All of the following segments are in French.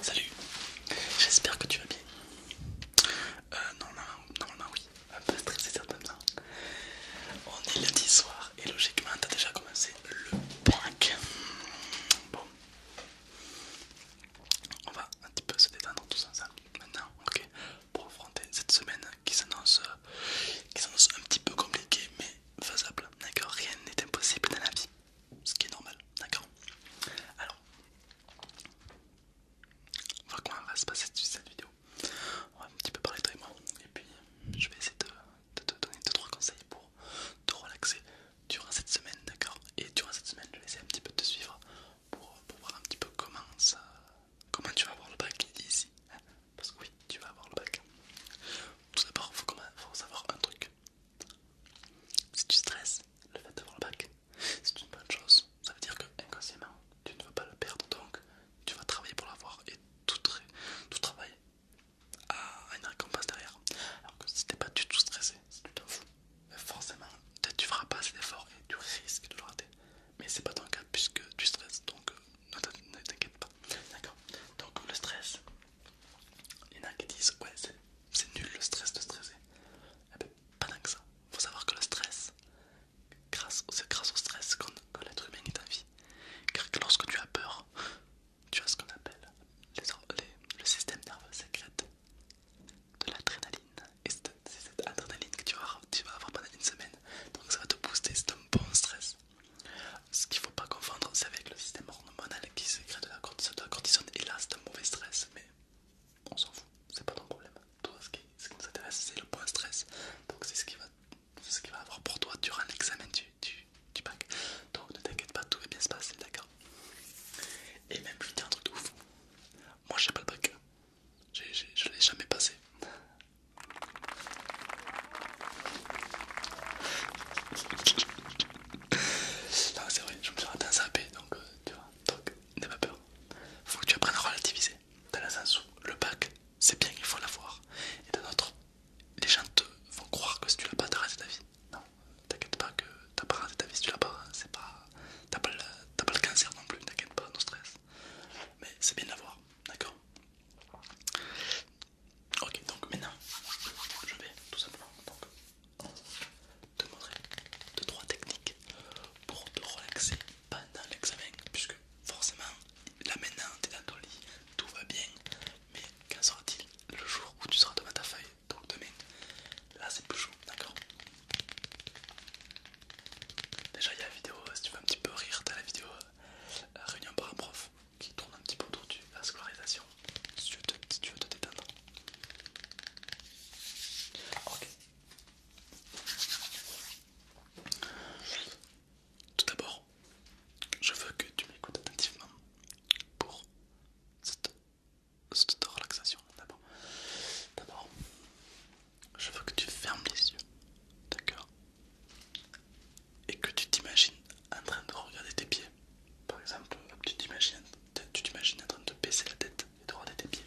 Salut, j'espère que tu vas bien. Euh, non, non non, oui un peu stressé certainement. On est lundi soir et logiquement t'as déjà commencé le prank Bon, on va un petit peu se détendre tout ça. maintenant, ok, pour affronter cette semaine qui s'annonce qui un petit peu compliquée mais faisable, d'accord. Rien n'est impossible dans la vie, ce qui est normal, d'accord. Alors, on va comment va se passer cette vidéo on va un petit peu parler toi et moi. Et puis je vais essayer de, te donner 2-3 conseils pour te relaxer durant cette semaine, d'accord Et durant cette semaine, je vais essayer un petit peu de te suivre pour, voir un petit peu comment, ça, comment tu vas avoir le bac ici. Hein Parce que oui, tu vas avoir le bac. Tout d'abord, il faut, faut savoir un truc. Si tu stresses, le fait d'avoir le bac, c'est une bonne chose. Ça veut dire que inconsciemment, tu ne veux pas le perdre, donc tu vas travailler pour l'avoir et tout, tout travail a une récompense derrière. Alors que si t'es pas du tout stressé, si tu t'en fous, ben forcément tu feras pas assez d'efforts et tu risques de le rater. Mais c'est pas ton cas puisque tu stresses donc euh, ne t'inquiète pas. D'accord Donc le stress, il y en a qui disent ouais, c'est nul le stress de stresser. et eh ben, pas dingue ça. Faut savoir que le stress, c'est grâce au stress que l'être humain est en vie. Car lorsque tu as peur, tu as ce qu'on appelle le système nerveux sécrète de l'adrénaline. Et c'est cette adrénaline que tu vas, avoir, tu vas avoir pendant une semaine. Donc ça va te booster, c'est un bon stress. Ce qu'il ne faut pas confondre, c'est avec le système hormonal qui sécrète de la cortisone. Et là, c'est un mauvais stress, mais on s'en fout, c'est pas ton problème toi ce qui, nous intéresse c'est le point stress donc c'est ce qui va ce qu'il va avoir pour toi durant l'examen du, bac donc ne t'inquiète pas tout va bien se passer d'accord et même je dire un truc de ouf moi j'ai pas le bac je l'ai jamais passé non c'est vrai je me suis raté un sapé donc euh, tu vois donc n'aie pas peur faut que tu apprennes à relativiser dans le sens où le bac c'est bien, il faut l'avoir. Et de l'autre, les gens te vont croire que si tu l'as pas, t'as raté ta vie. Non, t'inquiète pas que t'as pas raté ta vie si tu l'as pas, hein. c'est pas. T'as pas, le cancer non plus, t'inquiète pas, non stress. Mais c'est bien de l'avoir, d'accord Ok, donc maintenant, je vais tout simplement donc, te montrer 2-3 techniques pour te relaxer pendant l'examen, puisque forcément, là maintenant, t'es dans ton lit, tout va bien, mais quand sera-t-il le jour où tu seras devant ta feuille, donc demain, là c'est plus chaud, d'accord Déjà, il y a la vidéo, si tu veux un petit peu rire, t'as la vidéo euh, Réunion par un prof qui tourne un petit peu autour de la scolarisation, si tu veux te détendre. Ok. Tout d'abord, je veux que tu m'écoutes attentivement pour cette, relaxation. D'abord, je veux que tu fermes les yeux, d'accord Et que tu t'imagines en train de regarder tes pieds. Par exemple, tu t'imagines en train de baisser la tête et pieds.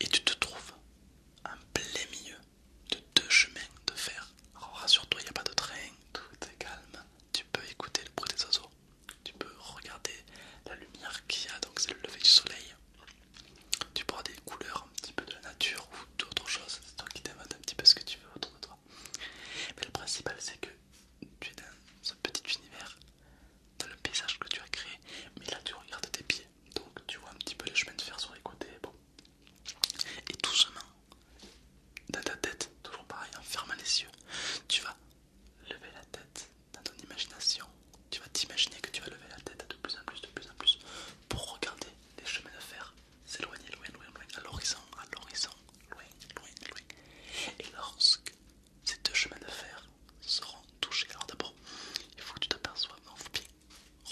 Et tu te trouves en plein milieu de deux chemins de fer. rassure-toi, il n'y a pas de train, tout est calme. Tu peux écouter le bruit des oiseaux, tu peux regarder la lumière qu'il y a, donc c'est le lever du soleil. Tu prends des couleurs un petit peu de la nature ou d'autres choses, c'est toi qui t'invente un petit peu ce que tu veux autour de toi. Mais le principal c'est que tu es dans ce petit univers dans le paysage que tu as créé, mais là tu regardes tes pieds, donc tu vois un petit peu les chemins de fer sur les côtés, Et tout doucement, dans ta tête, toujours pareil, en hein, fermant les yeux, tu vas lever la tête dans ton imagination, tu vas t'imaginer que tu vas lever la tête de plus en plus, de plus en plus, pour regarder les chemins de fer s'éloigner, loin, loin, loin, à l'horizon, à l'horizon, loin, loin, loin. Et lorsque ces deux chemins de fer seront touchés. Alors d'abord, il faut que tu t'aperçoives, non, faut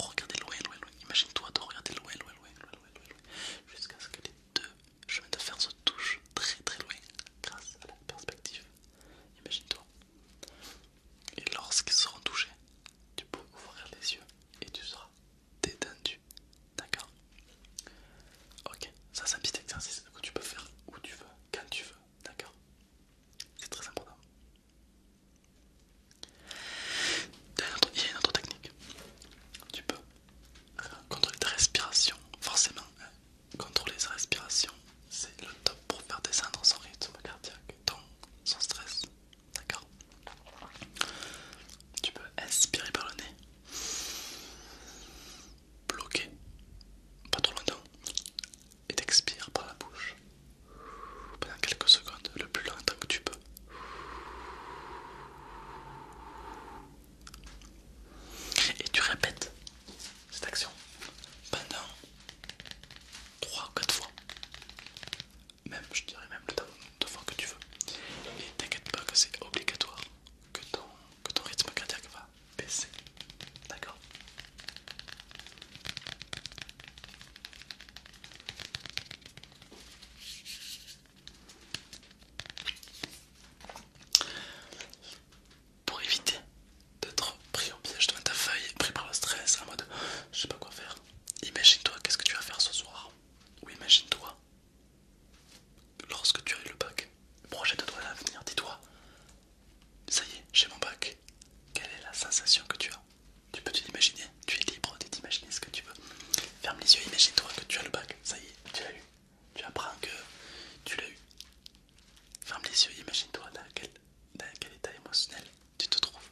regarder loin, loin, loin. Imagine-toi de regarder loin, loin, loin, loin, jusqu'à ce que les deux chemins de faire se touchent très, très loin grâce à la perspective. Imagine-toi. Et lorsqu'ils seront touchés, tu peux ouvrir les yeux et tu seras détendu. D'accord Ok, ça c'est un petit exercice que tu peux faire où tu veux, quand tu veux. D'accord c'est très important. Il y, a une autre, technique. Tu peux euh, contrôler ta respiration, forcément. Euh, contrôler sa respiration, c'est le top pour faire descendre son rythme cardiaque, temps son stress. D'accord Tu peux inspirer par le nez, bloquer, pas trop longtemps, et t'expires par la bouche pendant quelques secondes, le plus longtemps que tu peux. Et tu répètes cette action pendant 3 4 fois. Même, je dirais même le temps de fois que tu veux. Et t'inquiète pas que c'est obligatoire que ton, que ton rythme cardiaque va PC. D'accord Pour éviter d'être pris au piège devant ta feuille, pris par le stress, en mode je sais pas quoi faire, imagine-toi qu'est-ce que tu vas faire ce soir, ou imagine-toi lorsque tu as eu le bac, projette-toi à l'avenir, dis-toi ça y est, j'ai mon bac. Quelle est la sensation que tu as Tu peux t'imaginer Tu es libre de t'imaginer ce que tu veux. Ferme les yeux, imagine-toi que tu as le bac. Ça y est, tu l'as eu. Tu apprends que tu l'as eu. Ferme les yeux, imagine-toi dans quel, état émotionnel tu te trouves.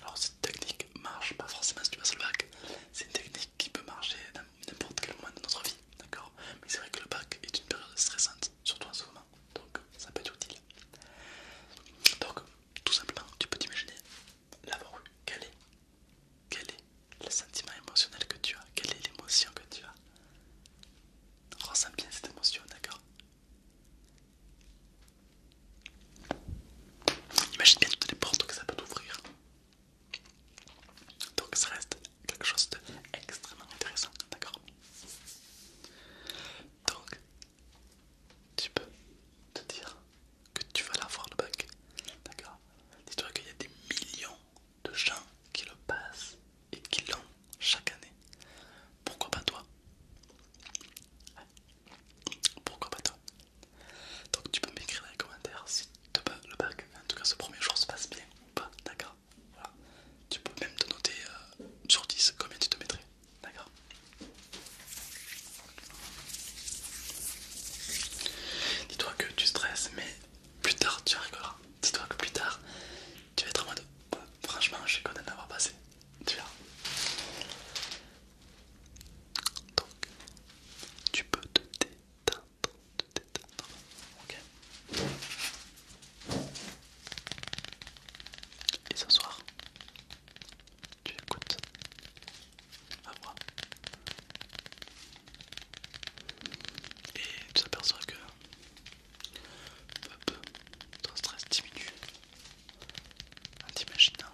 Alors cette technique marche pas forcément si tu passes le bac. C'est une technique qui peut marcher dans n'importe quel moment de notre vie, d'accord Mais c'est vrai que le bac est une période stressante, surtout en souvent donc ça peut être utile. Donc, tout simplement, tu peux t'imaginer l'avoir voir, Quel est, quel est le sentiment émotionnel que tu as Quelle est l'émotion que tu as Ressens bien cette émotion, d'accord Imagine bien toutes les portes que ça peut t'ouvrir. Donc ça reste quelque chose d'extrêmement intéressant, d'accord Donc, tu peux te dire que tu vas l'avoir le bac, d'accord Dis-toi qu'il y a des millions de gens qui le passent et qui l'ont chaque année. Pourquoi pas toi Pourquoi pas toi donc tu peux m'écrire dans les commentaires si le bac, en tout cas ce premier jour se passe bien ou pas, d'accord tu peux même te noter euh, sur 10 combien tu te mettrais. D'accord Dis-toi que tu stresses, mais plus tard tu rigoleras. Dis-toi que plus tard tu vas être en mode bah, franchement, je suis content d'avoir passé. Tu verras. Donc, tu peux te détendre de t'éteindre. Ok Et ce soir, tu écoutes à moi. Et tu t'aperçois que peu à peu, ton stress diminue. En t'imaginant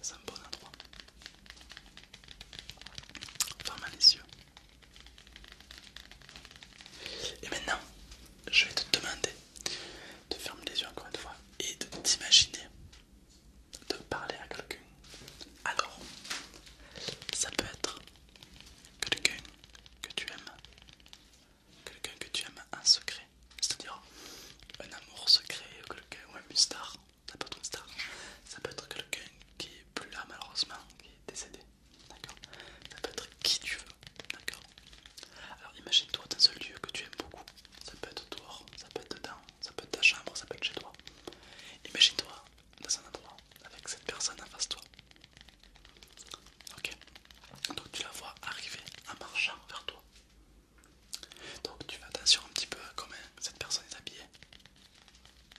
c'est un bon hein. endroit. Ferme les yeux et maintenant, je vais te demander de fermer les yeux encore une fois et de t'imaginer de parler à quelqu'un. Alors, ça peut être quelqu'un que tu aimes, quelqu'un que tu aimes en secret, c'est-à-dire un amour secret ou quelqu'un une star, ça peut être une star, ça peut être quelqu'un qui est plus là malheureusement, décédé. D'accord Ça peut être qui tu veux. D'accord Alors imagine-toi dans un lieu que tu aimes beaucoup. Ça peut être dehors, ça peut être dedans, ça peut être ta chambre, ça peut être chez toi. Imagine-toi dans un endroit avec cette personne en face de toi. Ok Donc tu la vois arriver en marchant vers toi. Donc tu vas attention un petit peu à comment cette personne est habillée.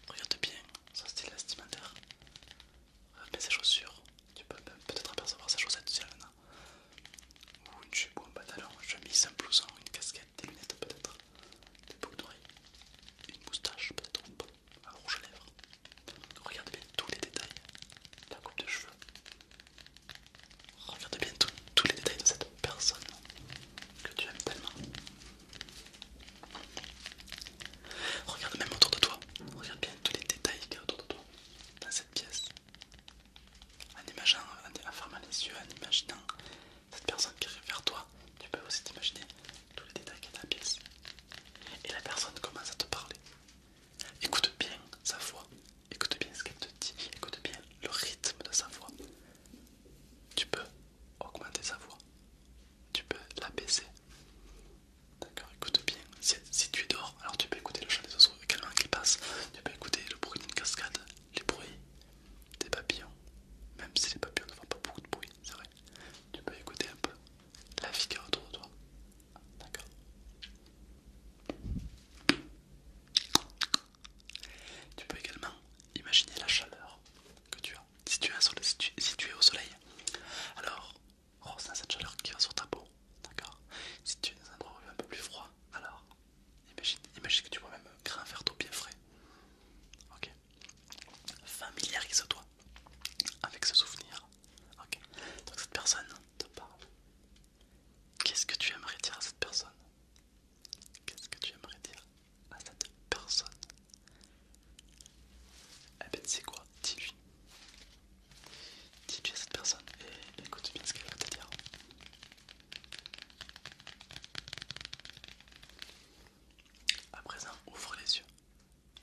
Regarde bien, ça style le Regarde euh, ses chaussures. Tu peux peut-être apercevoir sa chaussette si elle en a. Ou une jupe en un pantalon, une chemise, un blouson, une casquette, des lunettes peut-être, des boucles d'oreilles, une moustache peut-être un rouge à lèvres. Regarde bien tous les détails, la coupe de cheveux. Regarde bien tous les détails de cette personne que tu aimes tellement. Regarde même autour de toi, regarde bien tous les détails qu'il y a autour de toi dans cette pièce. En imaginant, en les yeux, en imaginant cette personne qui arrive vers toi, tu peux aussi t'imaginer tous les détails qu'il y a dans la pièce. Et la personne commence à te parler. Écoute bien sa voix, écoute bien ce qu'elle te dit, écoute bien le rythme de sa voix. Tu peux augmenter sa voix, tu peux la D'accord, écoute bien. Si, tu es dehors, alors tu peux écouter le chant des oiseaux également qui passe. Tu peux écouter le bruit d'une cascade, les bruits des papillons. Même si les papillons ne font pas beaucoup de bruit, c'est vrai. Tu peux écouter un peu la vie qui est autour de toi. D'accord. Tu peux également imaginer la chaleur que tu as si tu, es au soleil, alors ressens cette chaleur qui va sur ta peau, d'accord Si tu es dans un endroit un peu plus froid, alors imagine, que tu vois même un verre d'eau bien frais, ok Familiarise toi avec ce souvenir, ok Donc cette personne te parle. Qu'est-ce que tu aimerais dire à cette personne Qu'est-ce que tu aimerais dire à cette personne Eh ben c'est quoi Dis-lui. Dis-lui à cette personne et écoute bien ce qu'elle va te dire. À présent, ouvre les yeux.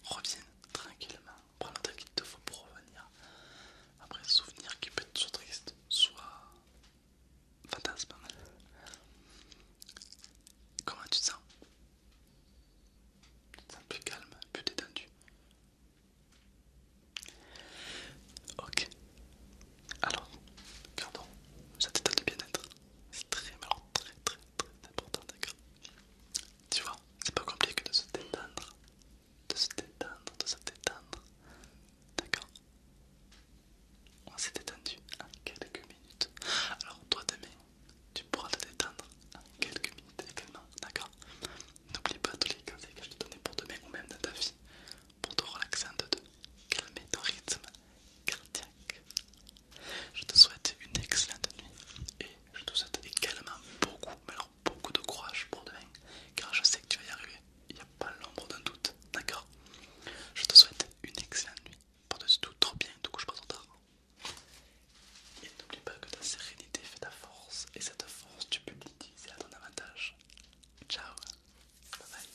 Reviens tranquillement. Prends le qu'il te faut pour revenir. Après, souvenir qui peut être soit triste, soit fantasme. Comment tu te sens Tu te sens plus calme, plus détendu Ok. Alors, gardons ça détend le bien-être. C'est très, très, très, très important, d'accord Tu vois, c'est pas compliqué de se détendre, de se détendre, de se détendre, d'accord on s'est détendu en quelques minutes. Alors toi demain, tu pourras te détendre en quelques minutes également, d'accord N'oublie pas tous les conseils que je te donnais pour demain ou même dans ta vie, pour te relaxer en deux, calmer ton rythme cardiaque. Je te souhaite une excellente nuit et je te souhaite également beaucoup, mais alors beaucoup de courage pour demain, car je sais que tu vas y arriver. Il n'y a pas l'ombre d'un doute, d'accord Je te souhaite une excellente nuit par-dessus tout, trop bien, du coup je passe en retard. Et n'oublie pas que ta sérénité fait ta force, et cette force tu peux l'utiliser à ton avantage. Ciao, bye bye.